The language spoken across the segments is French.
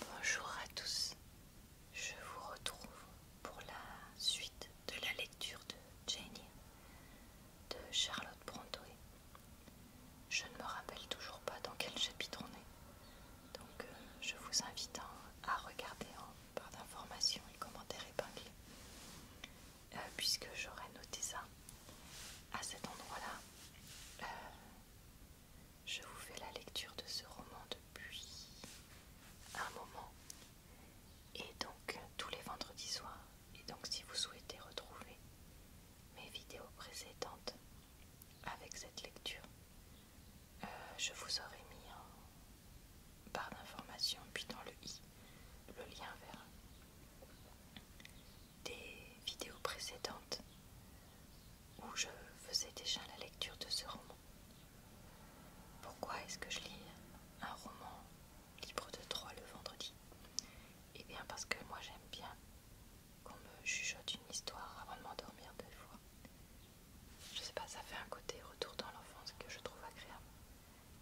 Bonjour à tous, je vous retrouve pour la suite de la lecture de Jenny de Charlotte Brontë. Je ne me rappelle toujours pas dans quel chapitre on est, donc euh, je vous invite à, regarder en barre d'informations et commentaires épinglés, euh, puisque j'aurais noté ça à cet endroit-là. Euh, je vous fais la lecture de ce roman depuis un moment. Et donc tous les vendredis soirs. Et donc si vous souhaitez retrouver mes vidéos précédentes avec cette lecture, euh, je vous aurai mis en barre d'informations, puis dans le i le lien vers des vidéos précédentes où je faisais déjà la lecture de ce roman. Pourquoi est-ce que je lis un roman libre de trois le vendredi Eh bien parce que moi j'aime bien qu'on me chuchote une histoire avant de m'endormir deux fois. Je sais pas, ça fait un côté retour dans l'enfance que je trouve agréable.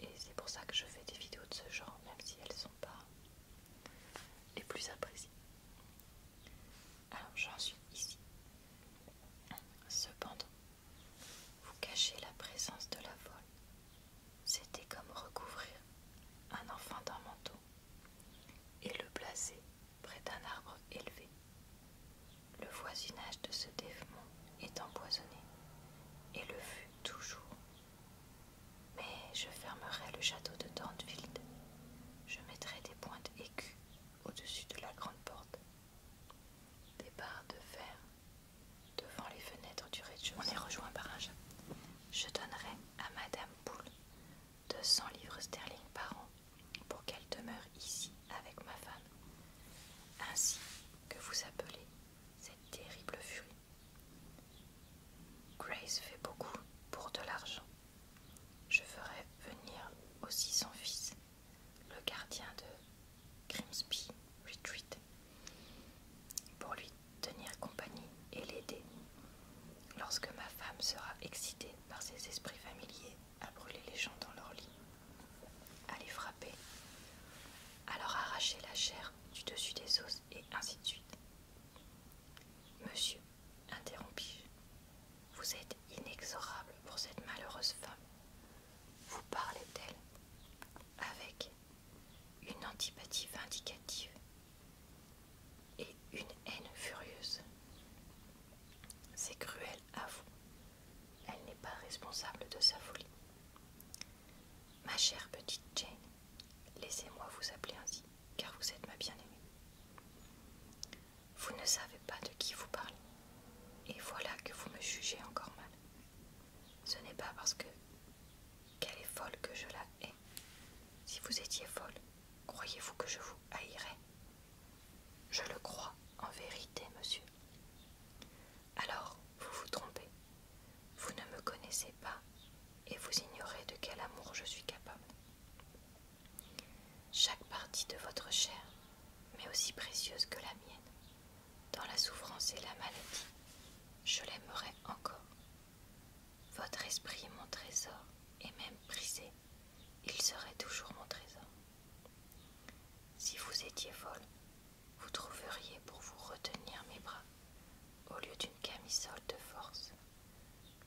Et c'est pour ça que je fais des vidéos de ce genre, même si elles sont pas les plus appréciées. Alors j'en suis ici. Cependant, vous cachez la présence de la folle. C'était comme recouvrir un enfant d'un manteau et le placer près d'un arbre élevé. Le voisinage de ce dévement est empoisonné et le fut toujours mais je fermerai le château de Dornfield. Je mettrai des pointes aiguës au-dessus de la grande porte, des barres de fer devant les fenêtres du rez On est rejoint par un jeu. Je donnerai à Madame Poole 200 livres sterling par an pour qu'elle demeure ici avec ma femme, ainsi que vous appelez cette terrible furie. Grace fait beaucoup pour de l'argent. Je ferai venir aussi son fils, le gardien de Grimsby Retreat, pour lui tenir compagnie et l'aider lorsque ma femme sera excitée par ses esprits familiers à brûler les gens dans leur lit, à les frapper, à leur arracher la chair du dessus des os et ainsi de suite. Monsieur, interrompis Vous êtes inexorable pour cette malheureuse femme. Vous parlez d'elle avec une antipathie vindicative et une haine furieuse. C'est cruel à vous. Elle n'est pas responsable de sa folie. Ma chère petite Jane, Laissez-moi vous appeler ainsi, car vous êtes ma bien-aimée. Vous ne savez pas de qui vous parlez, et voilà que vous me jugez encore mal. Ce n'est pas parce que qu'elle est folle que je la hais. Si vous étiez folle, croyez-vous que je vous haïrais Je le crois en vérité, monsieur. Alors, vous vous trompez. Vous ne me connaissez pas et vous ignorez de quel amour je suis capable. Chaque partie de votre chair mais aussi précieuse que la mienne. Dans la souffrance et la maladie, je l'aimerai encore. Votre esprit est mon trésor, et même brisé, il serait toujours mon trésor. Si vous étiez folle, vous trouveriez pour vous retenir mes bras au lieu d'une camisole de force.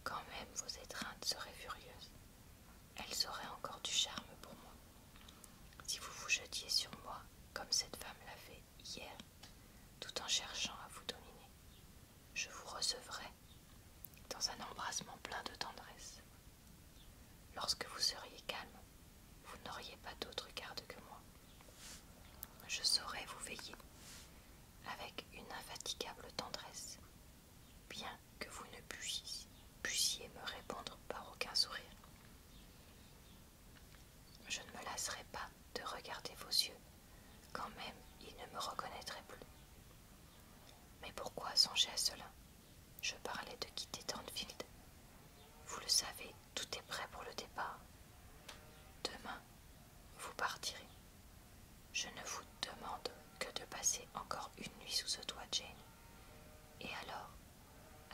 Quand même vos étreintes seraient furieuses. Elles auraient encore du charme pour moi. Si vous vous jetiez sur moi, comme cette femme l'a fait hier, tout en cherchant à vous dominer, je vous recevrai dans un embrassement plein de tendresse. Lorsque vous seriez calme, vous n'auriez pas d'autre garde que moi. Je saurais vous veiller, avec une infatigable tendresse, bien que vous ne puissiez, me répondre par aucun sourire. Je ne me lasserai pas de regarder vos yeux, quand même ils ne me reconnaîtraient plus. Mais pourquoi songer à cela Je parlais de quitter Thornfield. Vous le savez, tout est prêt pour le départ. Demain, vous partirez. Je ne vous demande que de passer encore une nuit sous ce toit, Jane. Et alors,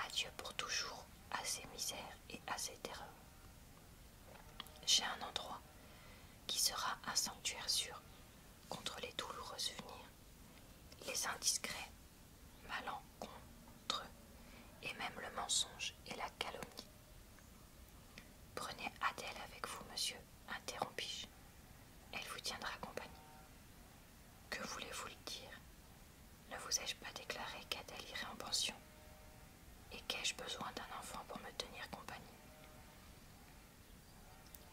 adieu pour toujours à ces misères et à ces terreurs. J'ai un endroit qui sera un sanctuaire sûr contre les douloureux souvenirs, les indiscrets, malencontreux, et même le mensonge et la calomnie. Prenez Adèle avec vous, monsieur, interrompis-je. Elle vous tiendra compagnie. Que voulez-vous lui dire Ne vous ai-je pas déclaré qu'Adèle irait en pension Et qu'ai-je besoin d'un enfant pour me tenir compagnie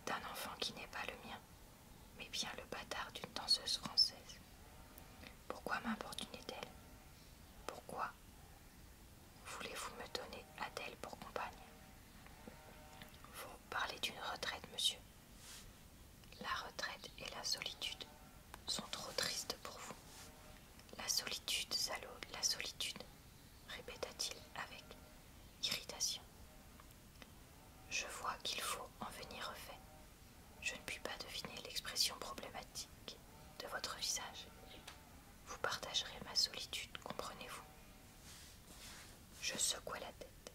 D'un enfant qui n'est pas le mien, mais bien le bâtard d'une danseuse française. Pourquoi m'importunait-elle Pourquoi Voulez-vous me donner Adèle pour compagne Vous parlez d'une retraite, monsieur. La retraite et la solitude sont trop tristes pour vous. La solitude, salaud, la solitude, répéta-t-il avec irritation. Je vois qu'il faut en venir au fait. Je ne puis pas deviner l'expression problématique de votre visage. Vous partagerez ma solitude, comprenez-vous Je secouai la tête.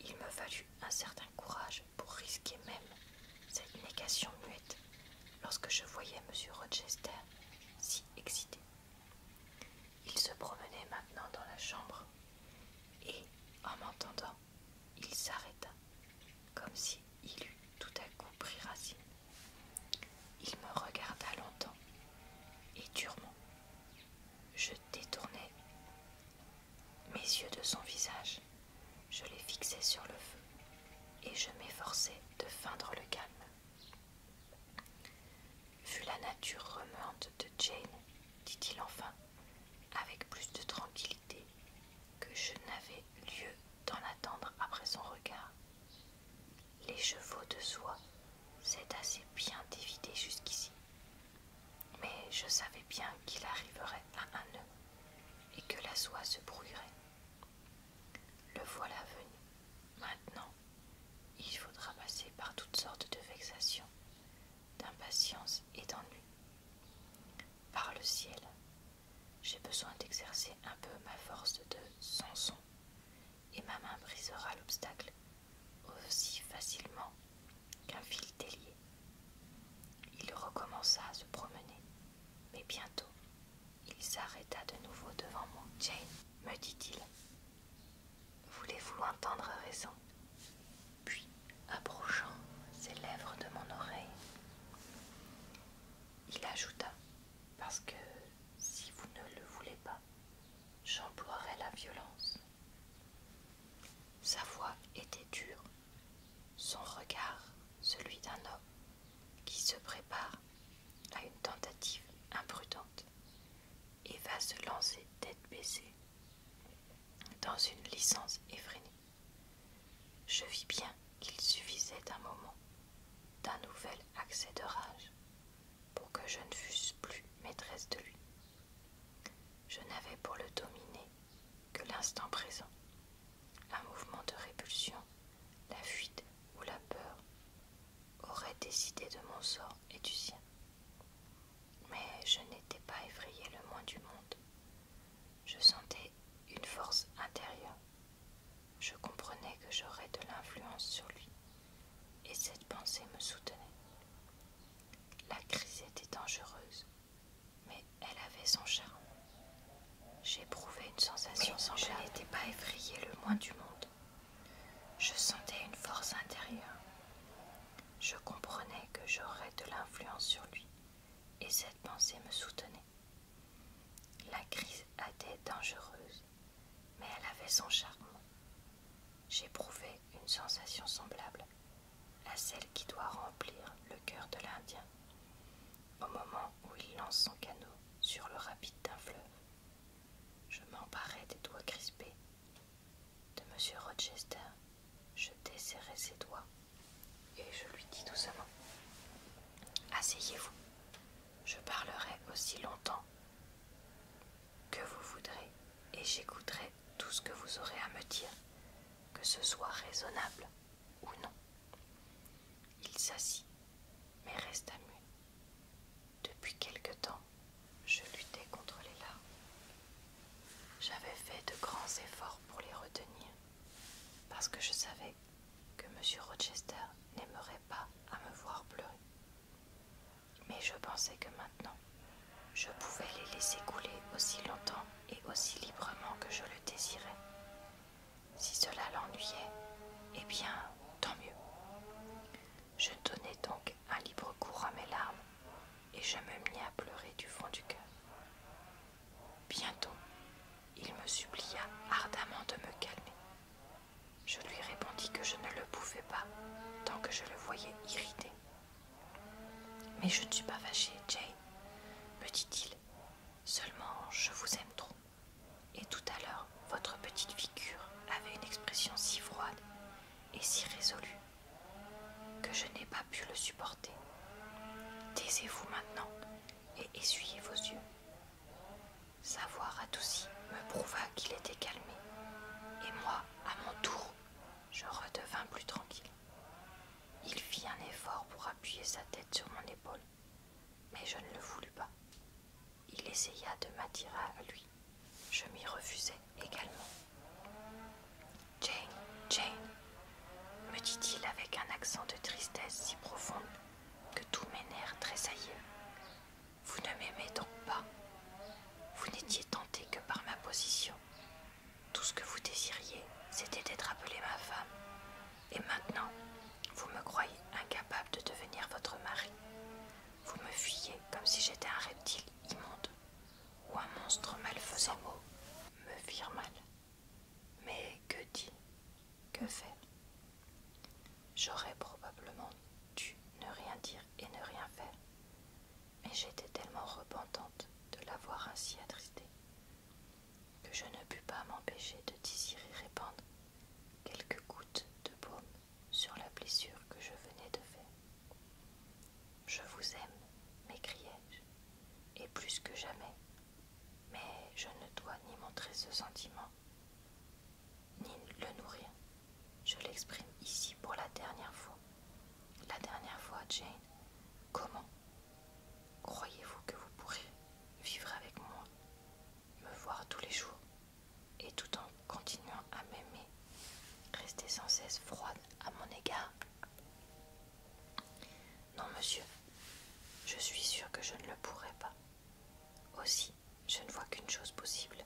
Il me fallut un certain courage pour risquer même cette négation muette lorsque je voyais M. Rochester si excité. Il se promenait maintenant dans la chambre et, en m'entendant, il s'arrêta comme s'il il eût tout à coup pris racine. Il me regarda longtemps et durement. Je détournai mes yeux de son visage, je les fixais sur le feu et je m'efforçais de feindre le calme. Vu la nature remuante de Jane, dit-il enfin, avec plus de tranquillité que je n'avais lieu d'en attendre après son regard. Les chevaux de soie s'étaient assez bien dévidés jusqu'ici, mais je savais bien qu'il arriverait à un nœud et que la soie se brouillerait. Le voilà venu. Maintenant, il faudra passer par toutes sortes de vexations, d'impatience et d'ennui. Par le ciel, j'ai besoin d'exercer un peu ma force de Samson, et ma main brisera l'obstacle aussi facilement qu'un fil délié. Il recommença à se promener, mais bientôt il s'arrêta de nouveau devant moi. Jane, me dit-il, voulez-vous entendre raison Puis, approchant ses lèvres de mon oreille, il ajouta Parce que si vous ne le voulez pas, j'emploierai la violence. Sa voix était dure, son regard celui d'un homme qui se prépare à une tentative imprudente et va se lancer tête baissée dans une licence effrénée. Je vis bien qu'il suffisait d'un moment, d'un nouvel accès de rage, pour que je ne fusse plus maîtresse de lui. Je n'avais pour le dominer que l'instant présent, un mouvement de répulsion, la fuite ou la peur auraient décidé de mon sort et du sien. Mais je n'étais pas effrayée le moins du monde je sentais une force intérieure. Je comprenais que j'aurais de l'influence sur lui, et cette pensée me soutenait. La crise était dangereuse, mais elle avait son charme. J'éprouvais une sensation sans sans Je n'étais pas effrayée le moins du monde. Je sentais une force intérieure. Je comprenais que j'aurais de l'influence sur lui, et cette pensée me soutenait. La crise était dangereuse, mais elle avait son charme. J'éprouvais une sensation semblable à celle qui doit remplir le cœur de l'Indien au moment où il lance son canot sur le rapide d'un fleuve. Je m'emparais des doigts crispés de M. Rochester je desserrai ses doigts et je lui dis doucement Asseyez-vous, je parlerai aussi longtemps que vous voudrez et j'écouterai tout ce que vous aurez à me dire, que ce soit raisonnable ou non. Il s'assit, mais resta muet. Depuis quelque temps, je luttais contre les larmes. J'avais fait de grands efforts pour les retenir, parce que je savais que M. Rochester n'aimerait pas à me voir pleurer. Mais je pensais que maintenant, je pouvais les laisser couler aussi longtemps et aussi librement que je le désirais. Si cela l'ennuyait, eh bien, tant mieux. Je donnais donc un libre cours à mes larmes et je me mis à pleurer du fond du cœur. Bientôt, il me supplia ardemment de me calmer. Je lui répondis que je ne le pouvais pas, tant que je le voyais irrité. Mais je ne suis pas fâché, Jane, me dit-il. Seulement, je vous aime trop. Et tout à l'heure, votre petite figure avait une expression si froide et si résolue que je n'ai pas pu le supporter. Taisez-vous maintenant et essuyez vos yeux. Sa voix radoucie me prouva qu'il était calmé, et moi, à mon tour, je redevins plus tranquille. Il fit un effort pour appuyer sa tête sur mon épaule, mais je ne le voulus pas. Il essaya de m'attirer à lui. Je m'y refusai également. Jane, Jane, me dit-il avec un accent de tristesse si profond que tous mes nerfs tressaillaient. Vous ne m'aimez donc pas. Vous n'étiez tenté que par ma position. Tout ce que vous désiriez, c'était d'être appelée ma femme. Et maintenant, vous me croyez incapable de devenir votre mari. Vous me fuyez comme si j'étais un reptile immonde ou un monstre malfaisant me firent mal. Mais que dit Que faire J'aurais probablement dû ne rien dire et ne rien faire. Mais j'étais tellement repentante de l'avoir ainsi attristée que je ne pus pas m'empêcher de désirer répandre quelques gouttes de baume sur la blessure que je venais de faire. Je vous aime, m'écriai-je, et plus que jamais. Mais je ne dois ni montrer ce sentiment, ni le nourrir. Je l'exprime ici pour la dernière fois. La dernière fois, Jane. Comment Croyez-vous que vous pourrez vivre avec moi, me voir tous les jours, et tout en continuant à m'aimer, rester sans cesse froide à mon égard non, monsieur, je suis sûre que je ne le pourrai pas. Aussi, je ne vois qu'une chose possible,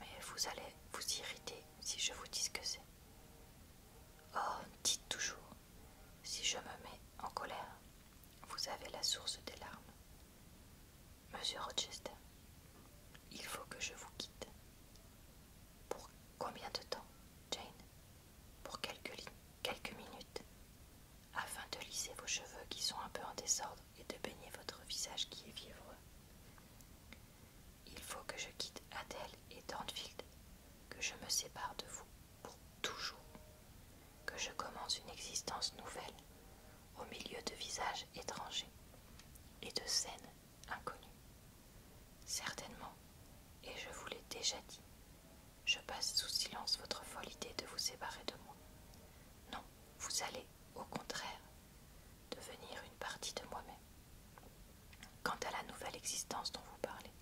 mais vous allez vous irriter si je vous dis ce que c'est. Oh, dites toujours, si je me mets en colère, vous avez la source des larmes. Monsieur Rochester, il faut que je vous quitte. Pour combien de temps, Jane Pour quelques, minutes, afin de lisser vos cheveux qui sont un peu en désordre et de baigner votre visage qui est vivreux. Il faut que je quitte Adèle et Dornfield, que je me sépare de vous pour toujours, que je commence une existence nouvelle au milieu de visages étrangers et de scènes inconnue. Certainement, et je vous l'ai déjà dit, je passe sous silence votre folle idée de vous séparer de moi. Non, vous allez, au contraire, devenir une partie de moi-même. Quant à la nouvelle existence dont vous parlez,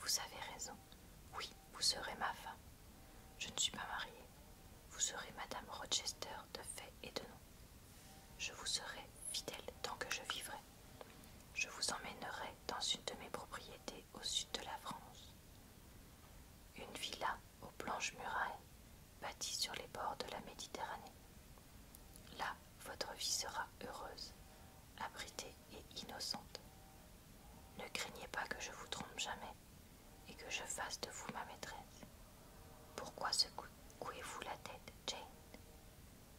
vous avez raison. Oui, vous serez ma femme. Je ne suis pas mariée. Vous serez Madame Rochester de fait et de nom. Je vous serai fidèle tant que je vivrai. Je vous emmènerai dans une de mes propriétés au sud de la France. Une villa aux blanches murailles, bâtie sur les bords de la Méditerranée. Là, votre vie sera heureuse, abritée et innocente. Ne craignez pas que je vous trompe jamais et que je fasse de vous ma maîtresse. Pourquoi secouez-vous la tête, Jane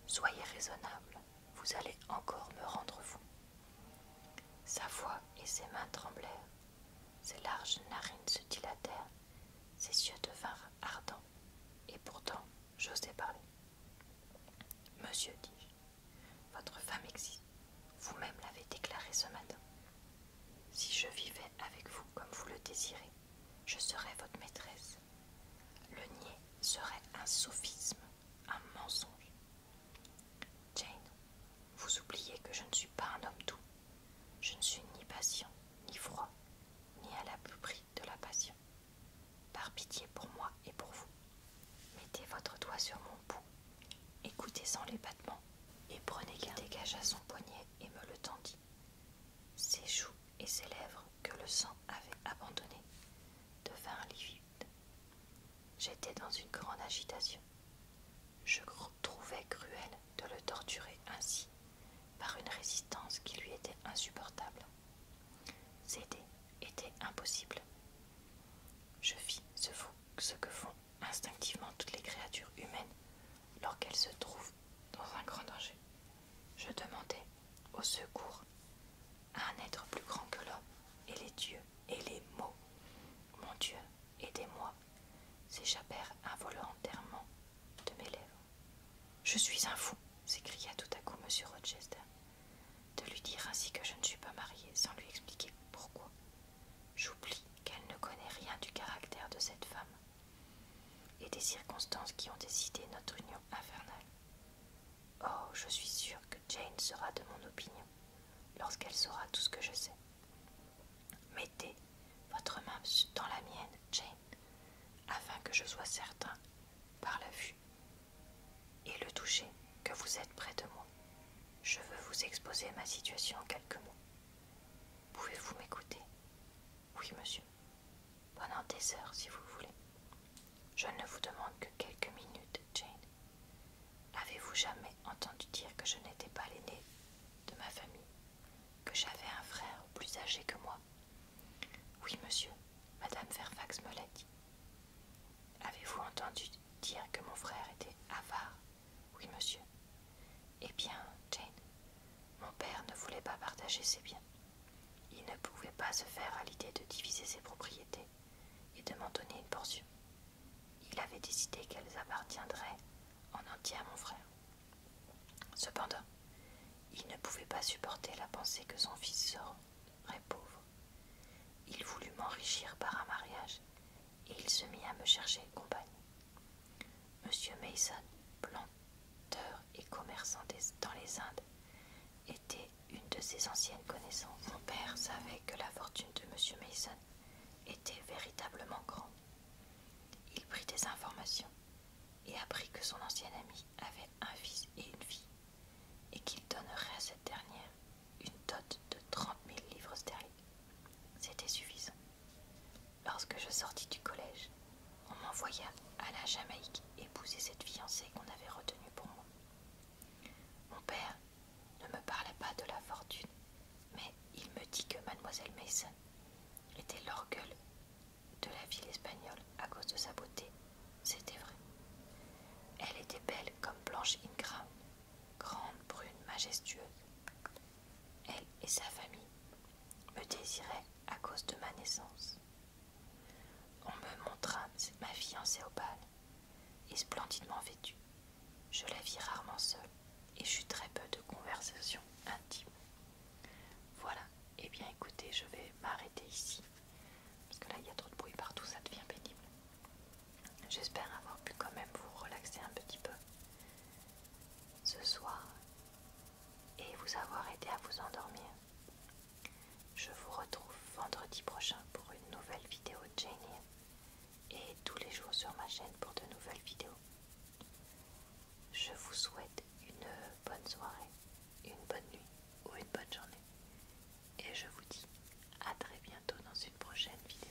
Soyez raisonnable, vous allez encore me rendre fou. Sa voix et ses mains tremblèrent, ses larges narines se dilatèrent, ses yeux devinrent ardents, et pourtant j'osais parler. Monsieur, dis-je, votre femme existe. Vous-même l'avez déclaré ce matin. Si je vivais avec vous comme vous le désirez, je serai votre maîtresse. Le nier serait un sophisme, un mensonge. Jane, vous oubliez que je ne suis pas un homme doux. Je ne suis ni patient, ni froid, ni à la l'abri de la passion. Par pitié pour moi et pour vous, mettez votre doigt sur mon pouls, écoutez sans les battements, et prenez garde. dégage à son poignet et me le tendit ses joues et ses lèvres que le sang avait abandonnées devinrent livides. J'étais dans une grande agitation. Je trouvais cruel de le torturer ainsi par une résistance qui lui était insupportable. Céder était impossible. Je fis ce, ce que font instinctivement toutes les créatures humaines lorsqu'elle se trouve dans un grand danger. Je demandais au secours à un être plus grand que l'homme et les dieux et les mots. Mon Dieu, aidez-moi, s'échappèrent involontairement de mes lèvres. Je suis un fou, s'écria tout à coup M. Rochester, de lui dire ainsi que je ne suis pas mariée sans lui expliquer pourquoi. J'oublie qu'elle ne connaît rien du caractère de cette femme et des circonstances qui ont décidé notre union infernale. Oh, je suis sûre que Jane sera de mon opinion lorsqu'elle saura tout ce que je sais. Mettez votre main dans la mienne, Jane, afin que je sois certain, par la vue et le toucher, que vous êtes près de moi. Je veux vous exposer ma situation en quelques mots. Pouvez-vous m'écouter oui, monsieur. Pendant des heures, si vous voulez. Je ne vous demande que quelques minutes, Jane. Avez-vous jamais entendu dire que je n'étais pas l'aînée de ma famille, que j'avais un frère plus âgé que moi Oui, monsieur, Madame Fairfax me l'a dit. Avez-vous entendu dire que mon frère était avare, oui, monsieur. Eh bien, Jane, mon père ne voulait pas partager ses biens. Il ne pouvait pas se faire à l'idée de diviser ses propriétés et de m'en donner une portion. Il avait décidé qu'elles appartiendraient en entier à mon frère. Cependant, il ne pouvait pas supporter la pensée que son fils serait pauvre. Il voulut m'enrichir par un mariage et il se mit à me chercher compagnie. M. Mason, planteur et commerçant dans les Indes, était une de ses anciennes connaissances. Mon père savait que la fortune de M. Mason était véritablement grande. Il prit des informations et apprit que son ancien ami avait un fils et une fille, et qu'il donnerait à cette dernière une dot de trente mille livres sterling. C'était suffisant. Lorsque je sortis du collège, on m'envoya à la Jamaïque épouser cette fiancée qu'on avait retenue pour moi. Mon père ne me parla pas de la fortune, mais il me dit que mademoiselle Mason était l'orgueule de la ville espagnole à cause de sa beauté. C'était vrai. Elle était belle comme Blanche Ingram, grande, brune, majestueuse elle et sa famille, me désiraient à cause de ma naissance. On me montra ma fiancée au bal, et splendidement vêtue. Je la vis rarement seule, et j'eus très peu de conversations intimes. Voilà, et eh bien écoutez, je vais m'arrêter ici, parce que là il y a trop de bruit partout, ça devient pénible. J'espère avoir pu quand même vous relaxer un petit peu ce soir et vous avoir aidé à vous endormir. Je vous retrouve vendredi prochain pour une nouvelle vidéo de Janie et tous les jours sur ma chaîne pour de nouvelles vidéos. Je vous souhaite une bonne soirée, une bonne nuit ou une bonne journée et je vous dis à très bientôt dans une prochaine vidéo.